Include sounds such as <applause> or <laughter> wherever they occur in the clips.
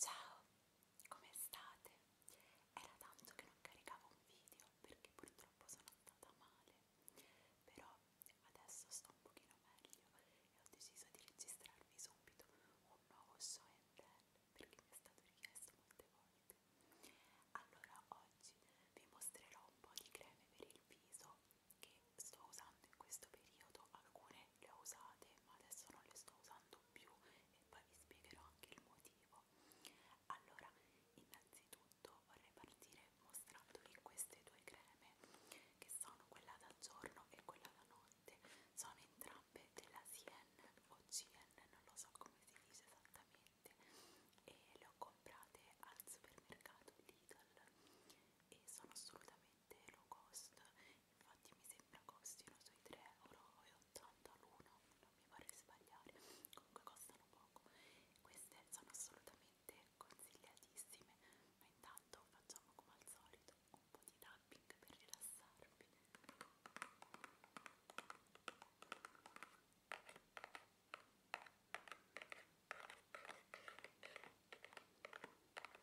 Ciao, come state? Era tanto che non caricavo un video perché purtroppo sono andata male, però adesso sto un pochino meglio e ho deciso di registrarvi subito un nuovo show and tell perché mi è stato richiesto molte volte. Allora oggi vi mostrerò un po' di creme per il viso che sto usando in questo periodo, alcune le ho usate ma adesso non le sto usando molto più e poi vi spiegherò anche il motivo allora innanzitutto vorrei partire mostrandovi queste due creme che sono quella da giorno e quella da notte sono entrambe della CN o CN non lo so come si dice esattamente e le ho comprate al supermercato Lidl e sono assolutamente low cost infatti mi sembra costino sui 3,80 euro l'uno, non mi vorrei sbagliare, comunque costano poco, queste sono assolutamente consigliatissime, ma intanto facciamo come al solito un po' di tapping per rilassarvi. Ecco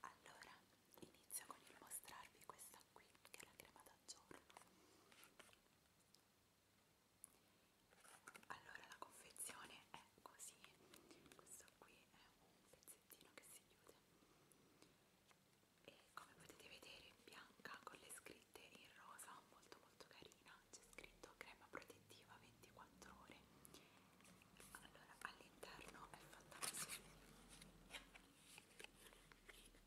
Allora, inizio con il mostrarvi questa qui, che è la crema da giorno. Allora, la confezione è così, questo qui è un pezzettino che si chiude e come potete vedere è bianca con le scritte in rosa molto molto carina mascherina c'è scritto crema protettiva 24 ore allora all'interno è fatta così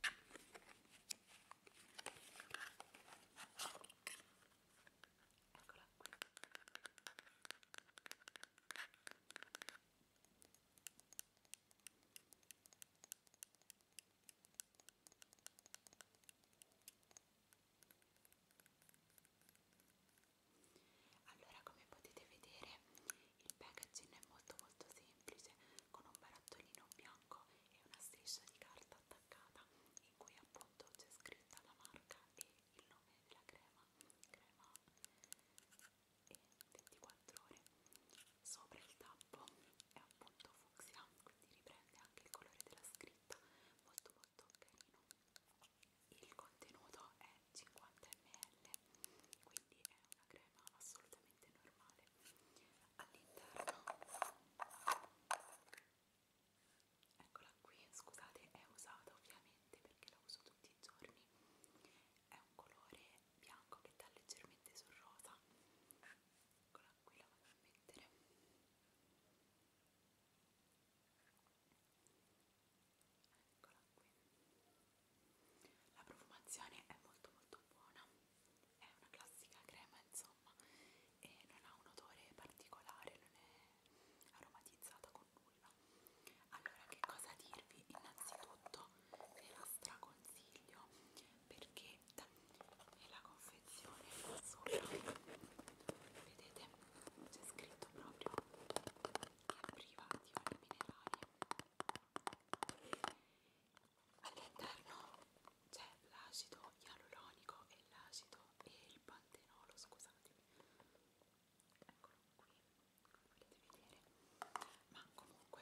eccola qui allora come potete vedere il packaging è molto molto semplice con un barattolino bianco e una striscia di carta attaccata in cui appunto c'è scritta la marca e il nome della crema crema e 24 ore sopra il tappo è appunto fucsia quindi riprende anche il colore della scritta molto prodotto carino il contenuto è 50 ml quindi è una crema assolutamente normale all'interno eccola qui scusate è usata ovviamente perché la uso tutti i giorni è un colore bianco che dà leggermente sul rosa eccola qui la vado a mettere eccola qui la profumazione è molto molto buona è una classica crema insomma e non ha un odore particolare non è aromatizzata con nulla allora che cosa dirvi innanzitutto ve la straconsiglio perché dal e la confezione è azzurra vedete c'è scritto proprio che è priva di oli minerali all'interno c'è l'acido ialuronico e l'acido e il pantenolo scusatemi eccolo qui come potete vedere ma comunque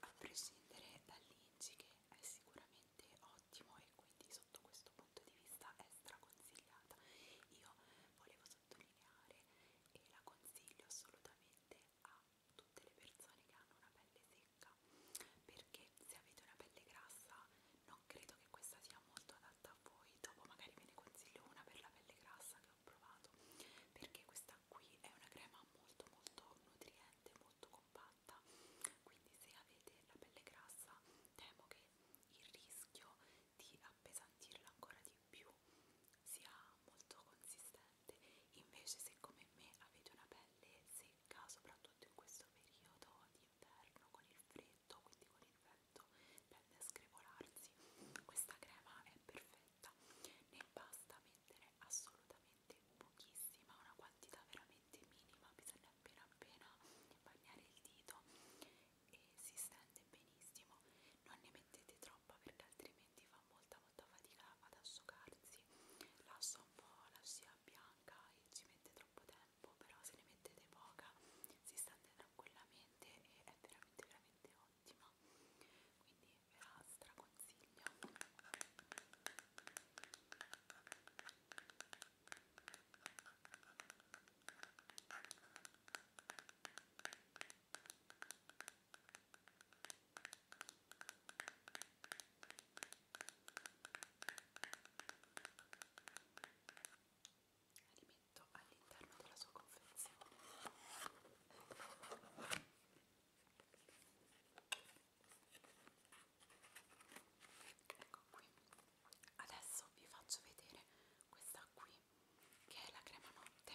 a prescindere dall'inci che è sicuramente ottimo e quindi sotto questo punto di vista è straconsigliata. Io volevo sottolineare e la consiglio assolutamente a tutte le persone che hanno una pelle secca perché se avete una pelle grassa non credo che questa sia molto adatta a voi dopo magari ve ne consiglio una per la pelle grassa che ho provato perché questa qui è una crema molto molto nutriente molto compatta tratta quindi se avete la pelle grassa temo che il rischio di appesantirla ancora di più sia molto consistente invece se come me avete una pelle secca soprattutto in questo periodo di inverno con il freddo quindi con il vento tende a screvolarsi questa crema è perfetta ne basta mettere assolutamente pochissima una quantità veramente veramente minima bisogna appena appena bagnare il dito e si stende benissimo non ne mettete troppa perché altrimenti fa molta molta fatica ad asciugarsi lascia un po' la scia bianca e ci mette troppo tempo però se ne mettete poca si stende tranquillamente e è veramente veramente ottima quindi ve la straconsiglio li metto all'interno della sua confezione ecco qui adesso vi faccio vedere questa qui che è la crema notte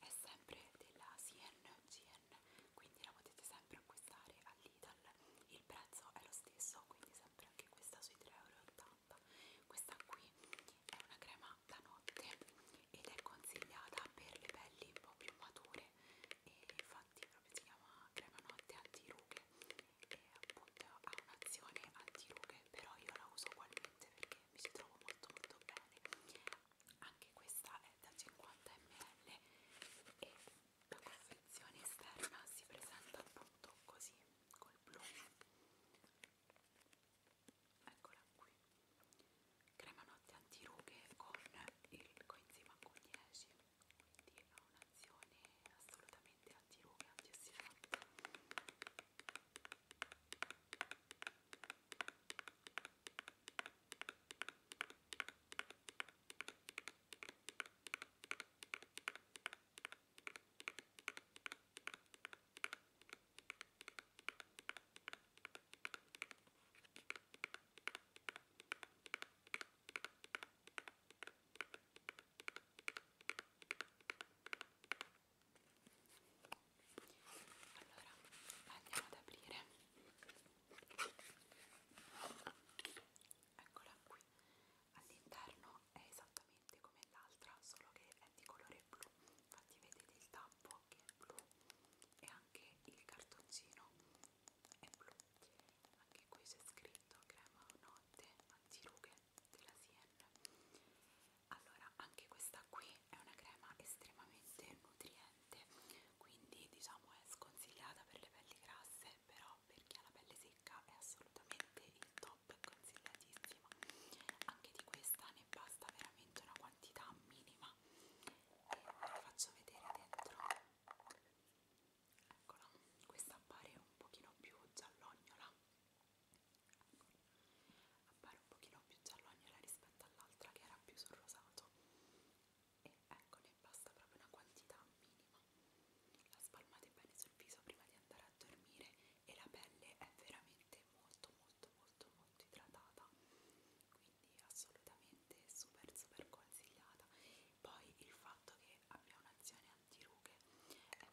è sempre della CNGN quindi la potete sempre acquistare all'Idal il prezzo è lo stesso quindi sempre anche questa sui 3,80 euro questa qui è una crema da notte ed è consigliata per le pelli un po' più mature e infatti proprio si chiama crema notte anti rughe che appunto ha un'azione antirughe però io la uso ugualmente perché mi ci trovo molto molto bene anche questa è da 50 ml e la confezione esterna si presenta appunto così col blu eccola qui crema notte antirughe con il coenzima Q10 quindi ha un'azione assolutamente antirughe, antiossidante allora, andiamo ad aprire. Eccola qui. All'interno è esattamente come l'altra, solo che è di colore blu. Infatti vedete il tappo che è blu e anche il cartoncino è blu anche qui c'è scritto crema notte antirughe della Sienna allora anche questa qui è una crema estremamente nutriente quindi diciamo è sconsigliata per le pelli grasse però per chi ha la pelle secca è assolutamente il top consigliatissima anche di questa ne basta veramente una quantità minima e ve la faccio vedere dentro eccola, questa appare un pochino più giallognola ecco. appare un pochino più giallognola rispetto all'altra che era più sul rosato e ecco ne basta proprio una quantità minima la spalmate bene sul viso prima di andare a dormire e la pelle è veramente molto molto molto molto idratata quindi assolutamente super super consigliata poi il fatto che abbia un'azione antirughe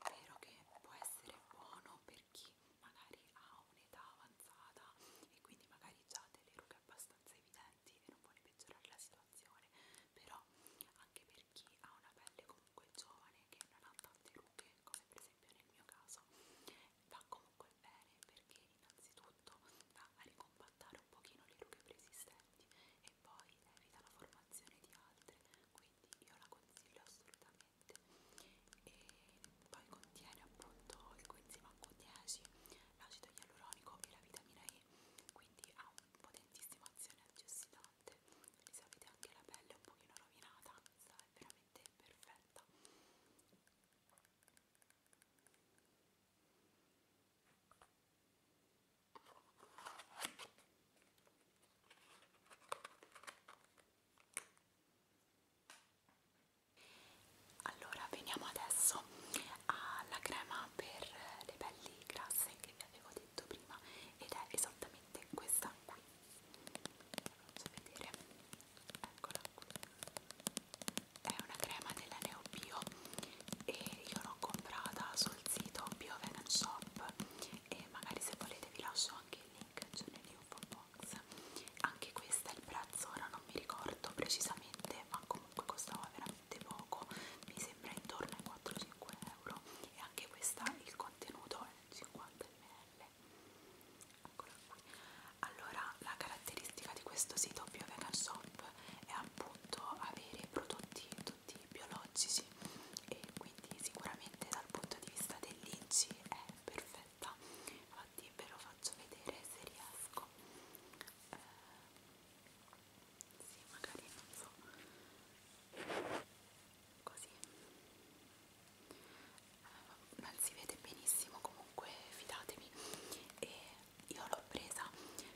è vero che può essere buono per chi magari ha un'età avanzata e quindi magari già delle rughe abbastanza evidenti e non vuole peggiorare la situazione però anche per chi ha una pelle comunque giovane che non ha tante rughe come per esempio nel mio caso va comunque bene perché innanzitutto va a ricompattare un pochino le rughe preesistenti docenti e poi evita la formazione di altri, quindi io la consiglio assolutamente. E poi contiene appunto il coenzima Q10, l'acido ialuronico e la vitamina E, quindi ha un potentissima azione antiossidante. Quindi se avete anche la pelle un pochino rovinata, questa è veramente perfetta. Allora veniamo adesso alla crema per le pelli grasse che vi avevo detto prima ed è esattamente questa qui. Faccio vedere. Eccola qui. È una crema della Neobio e io l'ho comprata sul sito Bio Vegan Shop e magari se volete vi lascio anche il link c'è cioè nell'info box anche questo è il prezzo ora non mi ricordo precisamente ma comunque costava veramente poco mi sembra intorno ai 4-5 euro e anche questa il contenuto è 50 ml eccola qui allora la caratteristica di questo sito Bio Vegan Shop è appunto avere prodotti tutti biologici e quindi sicuramente dal punto di vista dell'inci è perfetta infatti ve lo faccio vedere se riesco eh, sì magari non so così eh, non si vede benissimo comunque fidatevi e io l'ho presa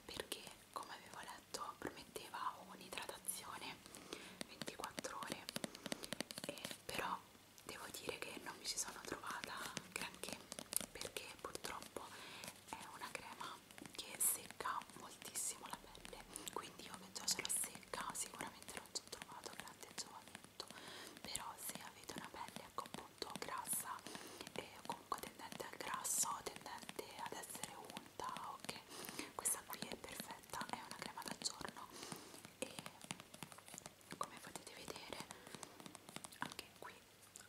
perché come avevo letto prometteva un'idratazione 24 ore e però devo dire che non mi ci sono trovata granché perché purtroppo è una crema che secca moltissimo la pelle quindi io che già ce l'ho secca sicuramente non ci ho trovato grande giovamento però se avete una pelle ecco appunto grassa e bianco tendente al grasso tendente ad essere unta ok questa qui è perfetta è una crema da giorno e come potete vedere anche qui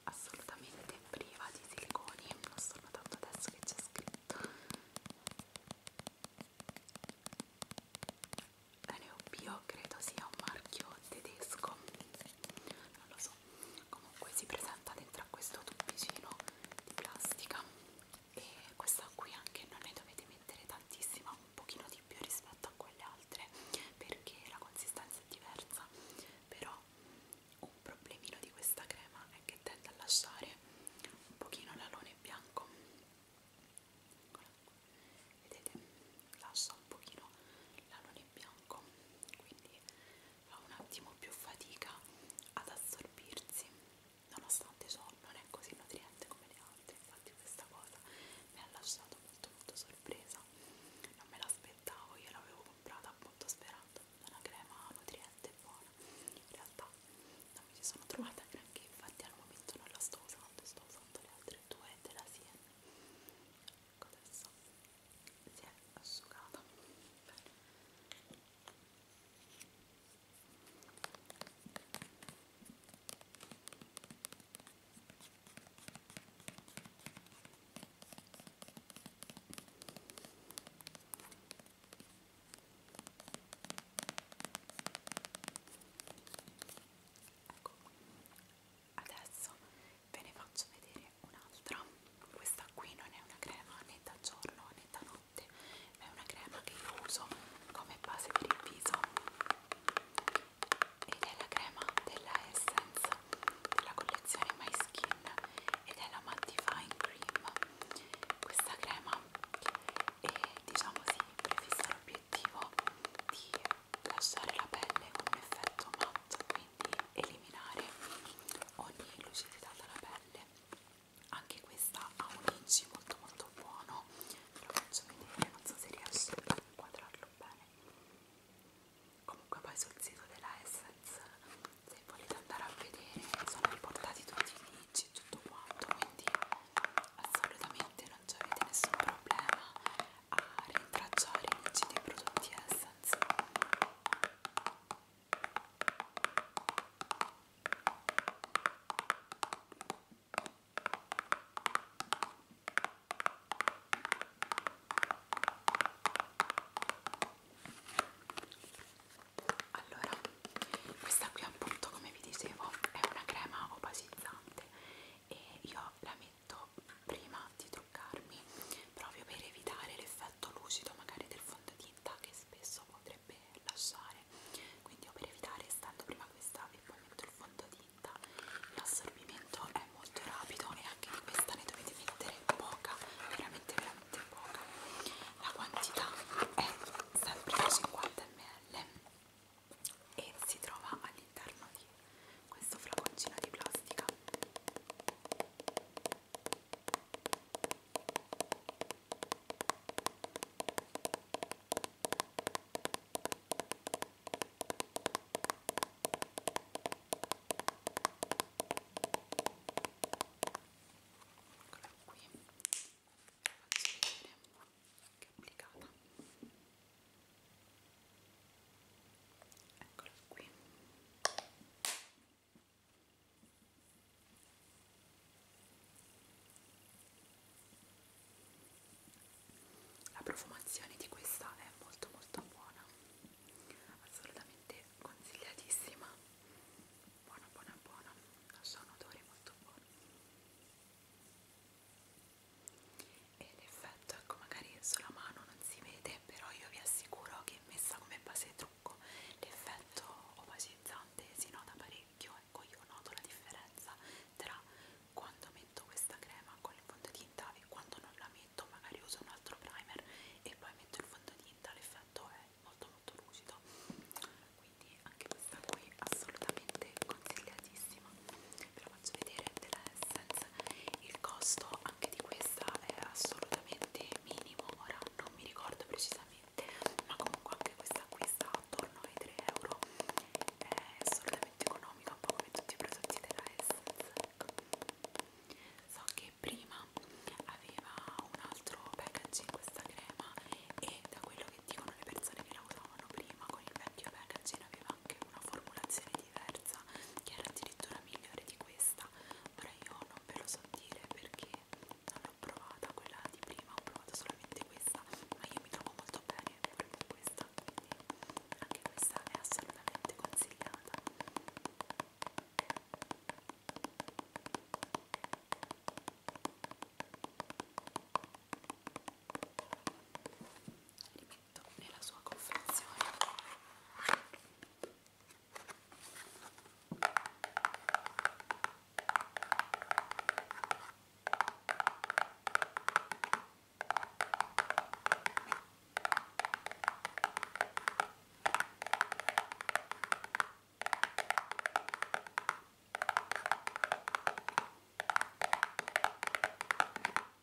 assolutamente priva di siliconi lo sto notando adesso che c'è scritto la Neo Bio credo sia un marchio tedesco forse non lo so comunque si presenta dentro a questo tubicino di plastica e questa qui anche non ne dovete mettere tantissima un pochino di più rispetto a quelle altre perché la consistenza è diversa però un problemino di questa crema è che tende a lasciare un pochino l'alone bianco vedete lascia un pochino l'alone bianco quindi fa un attimo più fatica ad assorbirsi nonostante ciò non è così nutriente come le altre infatti questa cosa mi ha lasciato molto molto sorpresa non me l'aspettavo io l'avevo comprata appunto sperando una crema nutriente e buona in realtà non mi ci sono trovata neanche infatti al momento non la sto usando sto usando le altre due della Sien ecco adesso si è asciugata bene Ecco, adesso ve ne faccio vedere un'altra questa qui non è una crema né da giorno né da notte ma è una crema che io uso come base per il viso ed è la crema della Essence della collezione My Skin ed è la Mattifying Cream questa crema è diciamo si sì, prefissa l'obiettivo di lasciare la pelle con un effetto matte quindi di eliminare ogni lucidità dalla pelle anche questa ha un inci molto molto buono ve lo faccio vedere, non so se riesco a inquadrarlo bene comunque poi sul sito della Essence se volete andare a vedere sono riportati tutti i inci e tutto quanto quindi assolutamente non c'avete nessun problema a rintracciare gli inci dei prodotti Essence abbastanza allora questa qui appunto come vi dicevo è una crema opacizzante e io la metto prima di truccarmi proprio per evitare l'effetto lucido magari del fondotinta che spesso potrebbe lasciare quindi io per evitare stando prima questa e poi metto il fondotinta l'assorbimento è molto rapido e anche di questa ne dovete mettere poca veramente veramente poca la quantità è sempre da 50 ml e si trova all'interno di questo flaconcino di plastica Eccolo qui, faccio vedere che è applicata eccolo qui la profumazione di questa è molto molto buona assolutamente consigliatissima buona buona buona ha un odore molto buono e l'effetto effetto ecco magari sulla mano non si vede però io vi assicuro che messa come base di trucco l'effetto opacizzante si nota parecchio ecco io noto la differenza tra quando metto questa crema con il fondotinta e quando non la metto magari uso un altro primer e poi metto il fondotinta l'effetto è molto molto lucido quindi anche questa qui assolutamente consigliatissima ve la faccio vedere della Essence il costo anche di questa è assolutamente minimo ora non mi ricordo precisamente ma comunque anche questa qui sta attorno ai 3 euro è assolutamente economica un po' come tutti i prodotti della Essence ecco. so che prima aveva un altro packaging questa crema e da quello che dicono le persone che la usavano prima con il vecchio packaging aveva anche una formulazione diversa che era addirittura migliore di questa ora io non ve lo so dire perché non l'ho provata quella di prima ho provato solamente questa ma io mi trovo molto bene pure con questa quindi anche questa è assolutamente consigliata pacchetto nella sua confezione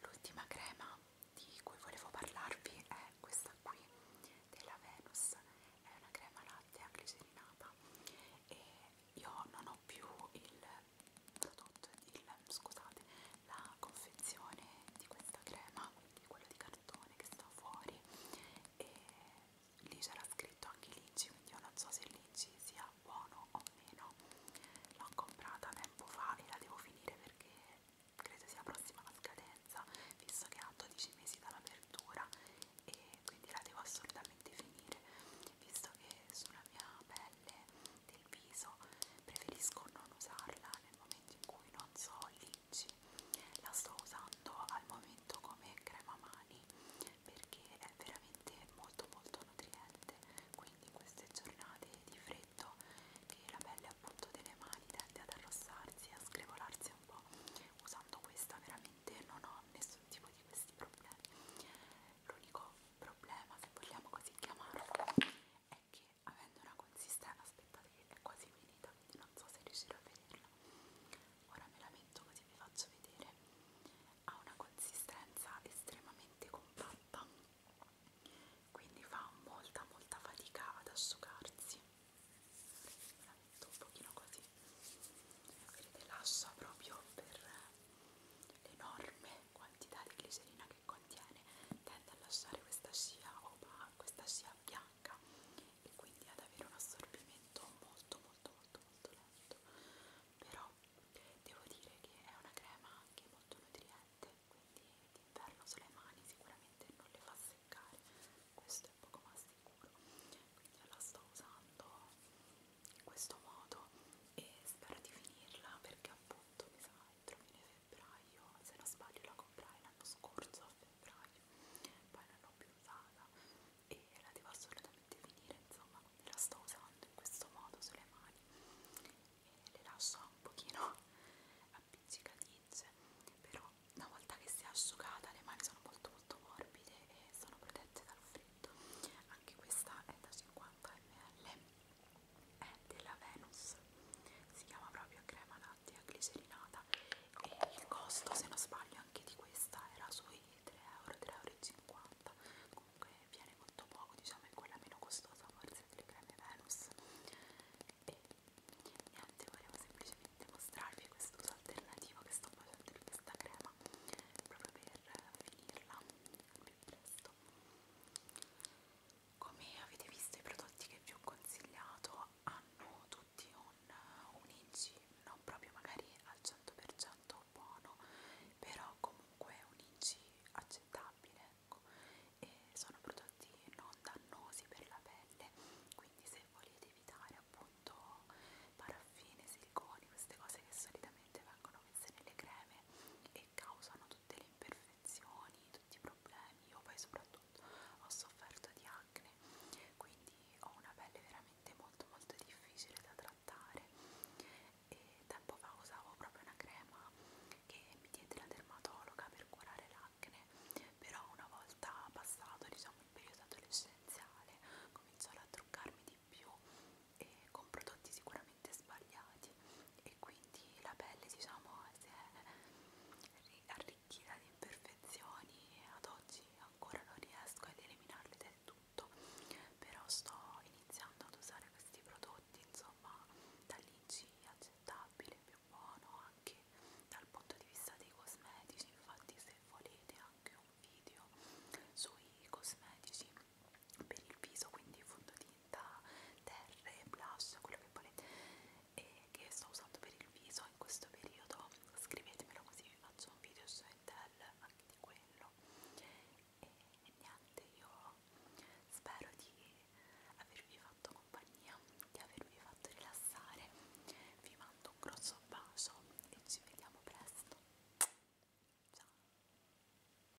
L'ultima crema di cui volevo parlarvi è questa qui della Venus, è una crema latte a glicerinata e io non ho più il prodotto il, scusate, la confezione di questa crema, di quello di cartone che sta fuori e lì c'era scritto anche Litchi, quindi io non so se Litchi sia buono o meno. L'ho comprata tempo fa e la devo finire perché credo sia prossima alla scadenza, visto che ha 12 mesi dall'apertura e quindi la devo assolutamente finire, visto che sulla mia pelle del viso preferisco non usarla nel momento in cui non so licci la sto usando al momento come crema mani perché è veramente molto molto nutriente quindi in queste giornate di freddo che la pelle appunto delle mani tende ad arrossarsi e a screvolarsi un po' usando questa veramente non ho nessun tipo di questi problemi l'unico problema se vogliamo così chiamarlo è che perché avendo una consistenza aspettate che è quasi finita quindi non so se riuscirò a vederla ora me la metto così vi faccio vedere ha una consistenza estremamente compatta quindi fa molta molta fatica ad asciugarsi me la metto un pochino così vedete lascia proprio per l'enorme quantità di glicerina che contiene tende a lasciare questa scia opaca, questa scia bianca e quindi ad avere un assorbimento molto molto molto molto lento però devo dire che è una crema anche molto nutriente quindi d'inverno sulle mani sicuramente non le fa seccare questo è poco ma sicuro quindi io la sto usando in questo modo e spero di finirla perché appunto mi sa entro fine febbraio, se non sbaglio la comprai l'anno scorso a febbraio, poi non l'ho più usata e la devo assolutamente finire, insomma, quindi la sto usando in questo modo sulle mani e le lascio un pochino <laughs> appiccicaticce, però una volta che si è asciugata le mani sono molto molto morbide e sono protette dal freddo, anche questa è da 50 ml è della Venus si chiama proprio crema lattea glicerinata e il costo se non sbaglio anche di questa era sui 3 euro 3,50 euro comunque viene molto poco diciamo è quella meno costosa forse delle creme Venus e niente volevo semplicemente mostrarvi questo uso alternativo che sto facendo di questa crema proprio per finirla al più presto come avete visto i prodotti che vi ho consigliato hanno tutti un, un inci non proprio magari al 100% buono però comunque un inci accettabile ecco. e sono prodotti non dannosi per la pelle quindi se volete evitare appunto paraffine, siliconi, queste cose che solitamente vengono messe nelle creme e che causano tutte le imperfezioni, tutti i problemi. Io poi soprattutto ho sofferto di acne, quindi ho una pelle veramente molto molto difficile da trattare. E tempo fa usavo proprio una crema che mi diede la dermatologa per curare l'acne, però una volta passato diciamo il periodo adolescenziale cominciò a truccarmi di più e con prodotti sicuramente completamente sbagliati e quindi la pelle diciamo si è arricchita di imperfezioni e ad oggi ancora non riesco ad eliminarle del tutto però sto iniziando ad usare questi prodotti insomma dall'IG accettabile, più buono anche dal punto di vista dei cosmetici infatti se volete anche un video sui cosmetici per il viso, quindi fondotinta, terre, blush, quello che volete e che sto usando per il viso in questo periodo scrivetemelo così vi faccio un video su Intel anche di quello e, e niente io spero di avervi fatto compagnia di avervi fatto rilassare vi mando un grosso bacio e ci vediamo presto ciao